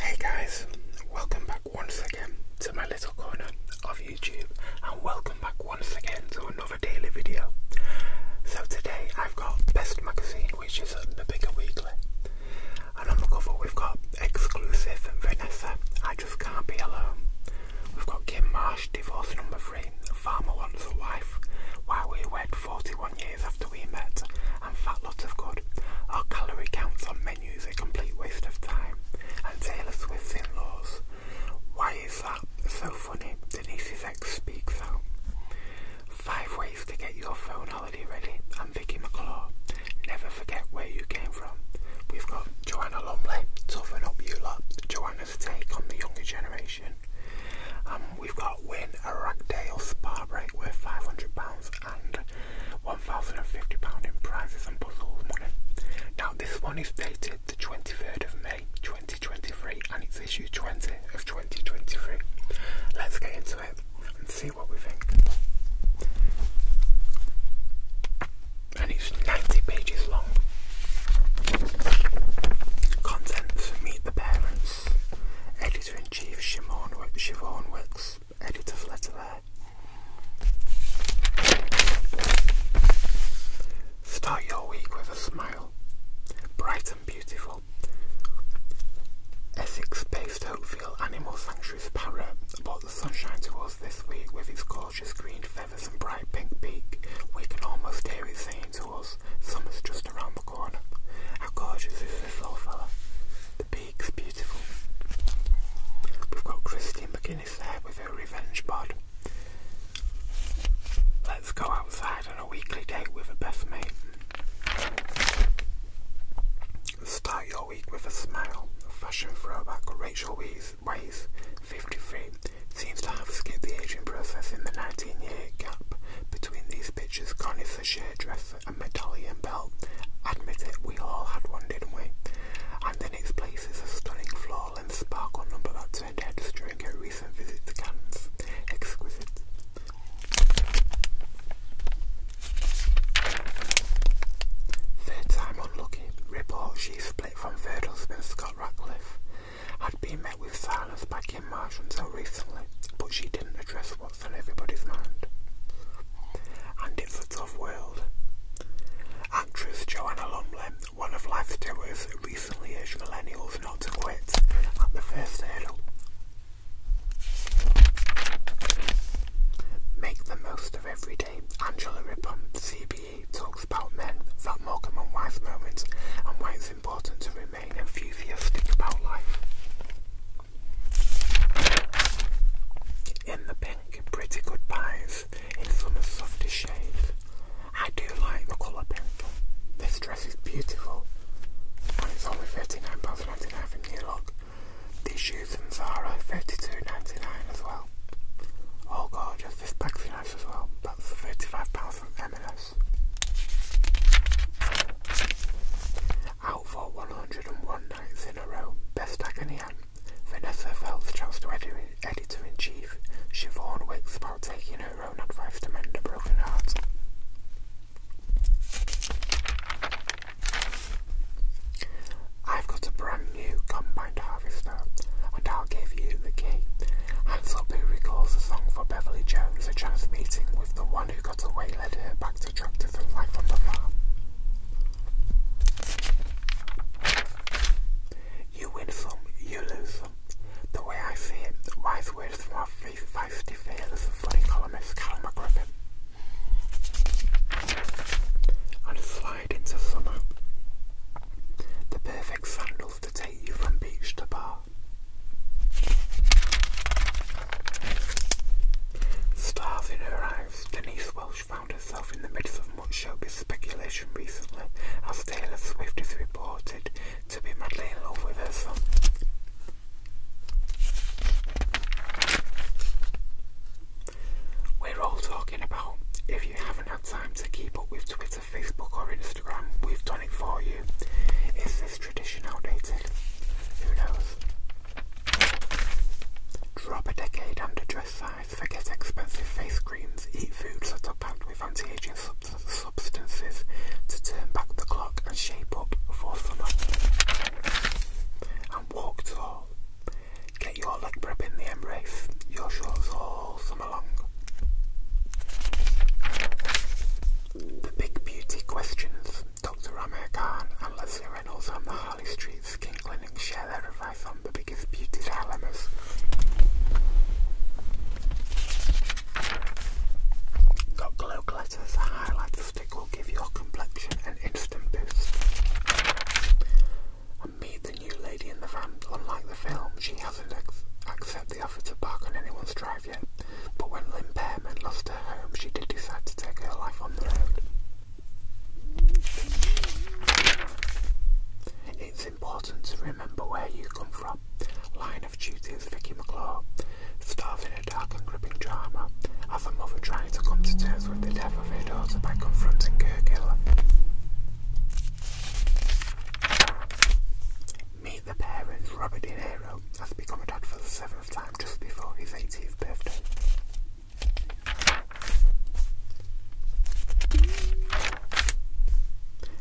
Hey guys, welcome back once again to my little corner of YouTube and welcome back once again to another daily video. So today I've got Best Magazine which is the bigger weekly and on the cover we've got exclusive Vanessa, I just can't be alone. We've got Kim Marsh, divorce number four farmer once for wife, while we wed 41 years after we met, and fat lot of good. Our calorie counts on menus a complete waste of time, and Taylor Swift's in-laws. Why is that? So funny, Denise's ex speaks out. Five ways to get your phone holiday ready. I'm Vicky McClaw. Never forget where you came from. We've got Joanna Lumley, toughen up you lot. Joanna take on the younger generation. Um, we've got win a rag spa break worth £500 and £1,050 in prizes and puzzles money. Now this one is dated the 23rd of May 2023 and it's issued 20th of 2023. Let's get into it and see what we think and it's 90 pages long. Contents Meet the Parents, Editor in Chief Siobhan Wicks, Editor's Letter Start your week with a smile. Bright and beautiful. Essex based Oakfield Animal Sanctuary's parrot brought the sunshine to this week with his gorgeous green feathers and bright pink beak. We can almost hear his saying to us, summer's just around the corner. How gorgeous is this little fella? The beak's beautiful. We've got Christine McGuinness there with her revenge bud. Let's go outside on a weekly date with a best mate. Start your week with a smile. Fashion throwback Rachel Weisz weighs 53, seems to have skipped the ageing process in the 19-year gap between these pictures. Connie's a hairdresser and medallion belt. Admit it, we all had one, didn't we? And in its place a stunning floor-length sparkle number that turned heads during recent visit to Exquisite. Third time unlucky. Report she's from Virgil Smith Scott Ratcliffe had been met with silence by Kim Marsh until recently, but she didn't address what's on everybody's mind. And it's a tough world. Actress Joanna Lumley, one of life's doers, recently urged millennials not to quit at the first hurdle. Make the most everyday. Angela Rippon, CBE, talks about men about Morgan and Wise moments and why it's important to remain enthusiastic about life. In the pink, pretty good pies in summer's softest shade. I do like the colour pink. This dress is beautiful and it's only £39.99 from New York. These shoes from Zara, 32 as well. Oh, gorgeous. This bag's nice as well. That's £35 from M&S. Out for 101 nights in a row. Best Agonian. Vanessa Phelps, Chelsea Editor-in-Chief. Siobhan Wicks about taking her own advice to mend a broken heart. I've got a brand new combine harvester, and I'll give you the key. Hansel Boo a song for Beverly Jones, a chance meeting with the one who got away led her back to tractors life on the farm. You win some, you lose some. The way I see it, wise words from feisty, fearless and funny columnist Callum McGriffin and slide into summer. The perfect sandals to take you from beach to bar. Stars in her eyes, Denise Welch found herself in the midst of much showbiz speculation recently as Taylor Swift is reported to be madly in love with her son. We're all talking about. If you haven't had time to keep up with Twitter, Facebook, or Instagram, we've done it for you. Is this tradition outdated? Who knows? Drop a decade under dress size, forget expensive face creams, eat foods that are packed with anti aging substances to turn back the clock and shape up for summer. And walk tall. Get your leg prep in the embrace, your shorts all summer long. The Big Beauty Questions. Dr. Amir Khan and Leslie Reynolds on the Harley Street Skin Clinic share their advice on the biggest beauty dilemmas. Got glow glitters, highlights, lipstick will give your complexion an instant boost. And meet the new lady in the van. Unlike the film, she hasn't ex accepted the offer to park on anyone's drive yet, but when Lynn Pearman lost her home, she did decide to take her life on the road. It's important to remember where you come from. Line of Duty is Vicky McClure, starving a dark and gripping drama of a mother trying to come to terms with the death of her daughter by confronting her killer. Meet the parents, Robert De Niro has become a dad for the seventh time just before his 18th birthday.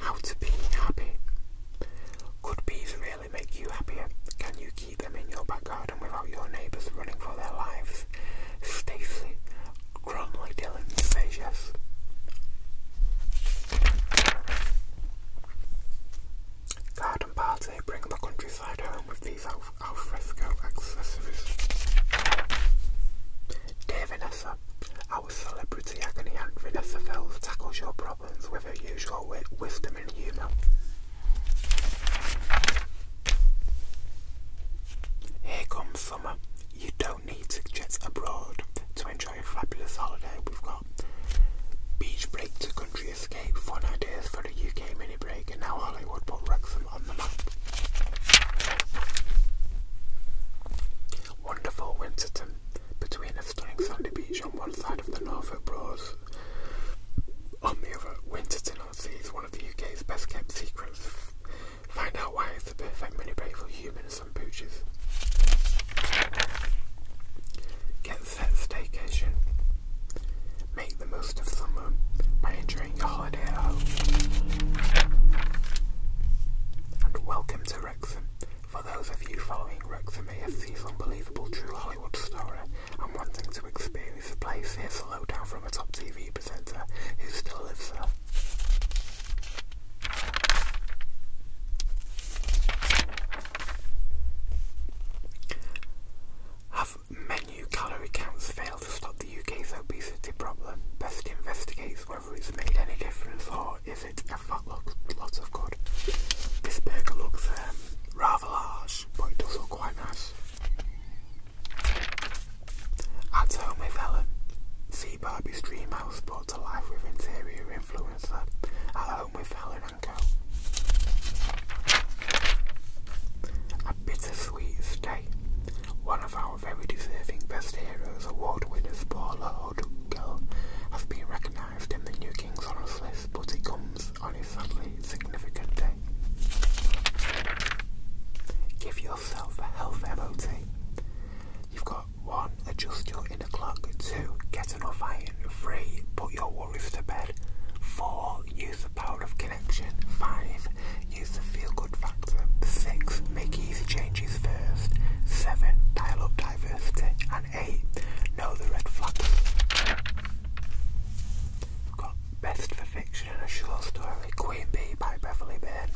How to be happy. Could bees really Will make you happier? Can you keep them in your backyard garden without your neighbours running for their lives? Stacy Gromley Dillon says Garden party, bring the countryside home with these alfresco accessories. Dear Vanessa, our celebrity agony aunt Vanessa Fells tackles your with her usual wit wisdom and humour. Here comes summer. You don't need to jet abroad to enjoy a fabulous holiday. We've got beach break to country escape, fun ideas for the UK mini break, and now Hollywood put Wrexham on the map. Wonderful Winterton. Between stunning sandy beach on one side of the Norfolk Broads. On the other, Winterton on Sea is one of the UK's best kept secrets. Find out why it's the perfect mini break for humans and pooches. Get set staycation. Make the most of summer by enjoying your holiday And welcome to Wrexham, for those of you following Rick Wrexham AFC's unbelievable true Hollywood story and wanting to experience the place, here's a lowdown from a top TV presenter who still lives there. Have menu calorie counts failed to stop the UK's obesity problem? Best investigates whether it's made any difference or gives it a look, lots of good. This burger looks um, rather large, but it does look quite nice. At home with Helen, see Barbie's dream house brought to life with interior influencer. At home with Helen and Co. A bittersweet stay. One of our very deserving Best award winners, Paula O'Donnell, has been recognised arrived in the new King list, but it comes on a sadly significant day. Give yourself a health MOT. You've got 1. Adjust your inner clock. 2. Get enough iron. 3. Put your worries to bed. 4. Use the power of connection. 5. Use the feel good factor. 6. Make easy changes first. 7. Dial up and eight, know the red flags. got Best for Fiction and a Short Story, Queen Bee by Beverly Byrne.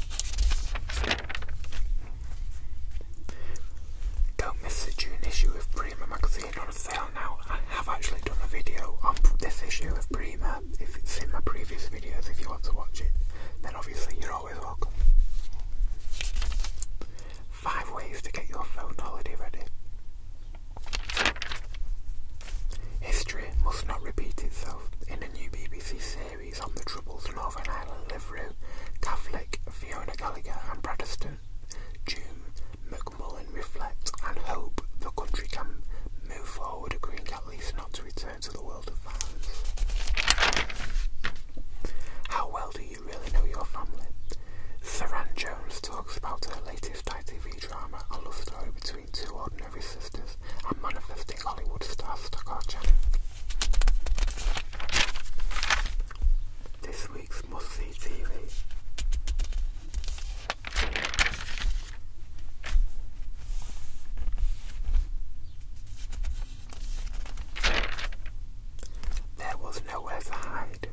Don't miss the June issue of Prima magazine on sale now. I have actually done a video on this issue of Prima. If you've seen my previous videos, if you want to watch it, then obviously you're all. Five ways to get your phone holiday ready. History must not repeat itself. In a new BBC series on the Troubles Northern Ireland Liveroom, Catholic, Fiona Gallagher and Protestant, June, McMullen reflect and hope the country can move forward, agreeing at least not to return to the world of violence. How well do you really know your family? Saran Jones talks about her latest ITV drama, a love story between two ordinary sisters and manifesting Hollywood star Stockard Channing. This week's must see TV. There was nowhere to hide.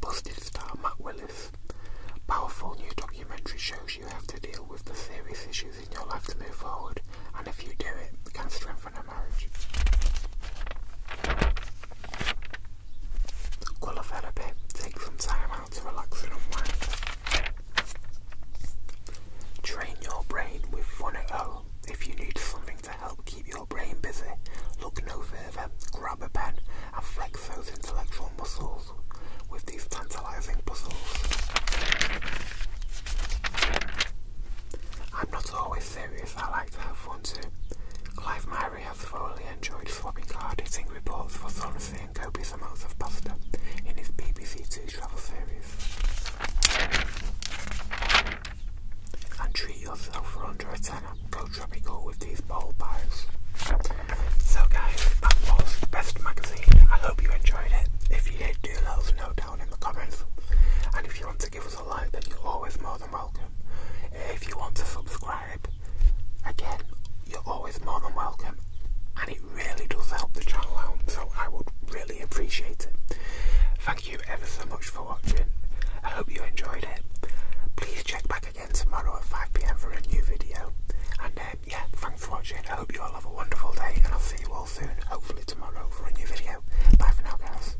Busted star Matt Willis. Powerful new documentary shows you have to deal with the serious issues in your life to move forward, and if you do it, can strengthen a marriage. Will a therapy? Take some time out to relax and unwind. Train your brain with Fun at Phoneo. If you need something to help keep your brain busy, look no further, grab a pen and flex those intellectual muscles with these tantalizing puzzles. I'm not always serious, I like to have fun too. Clive Myrie has thoroughly enjoyed swapping card hitting reports for Sun using copious amounts of pasta in his BBC Two travel series. And treat yourself for under a tenner. Go tropical with these bowl bars. So guys, that was Best Magazine. I hope you enjoyed it. If you did, do let us know down in the comments. And if you want to give us a like, then you're always more than welcome. If you want to subscribe, again, you're always more than welcome, and it really does help the channel out, so I would really appreciate it. Thank you ever so much for watching. I hope you enjoyed it. Please check back again tomorrow at 5pm for a new video. And um, yeah, thanks for watching. I hope you all have a wonderful day, and I'll see you all soon, hopefully tomorrow, for a new video. Bye for now, guys.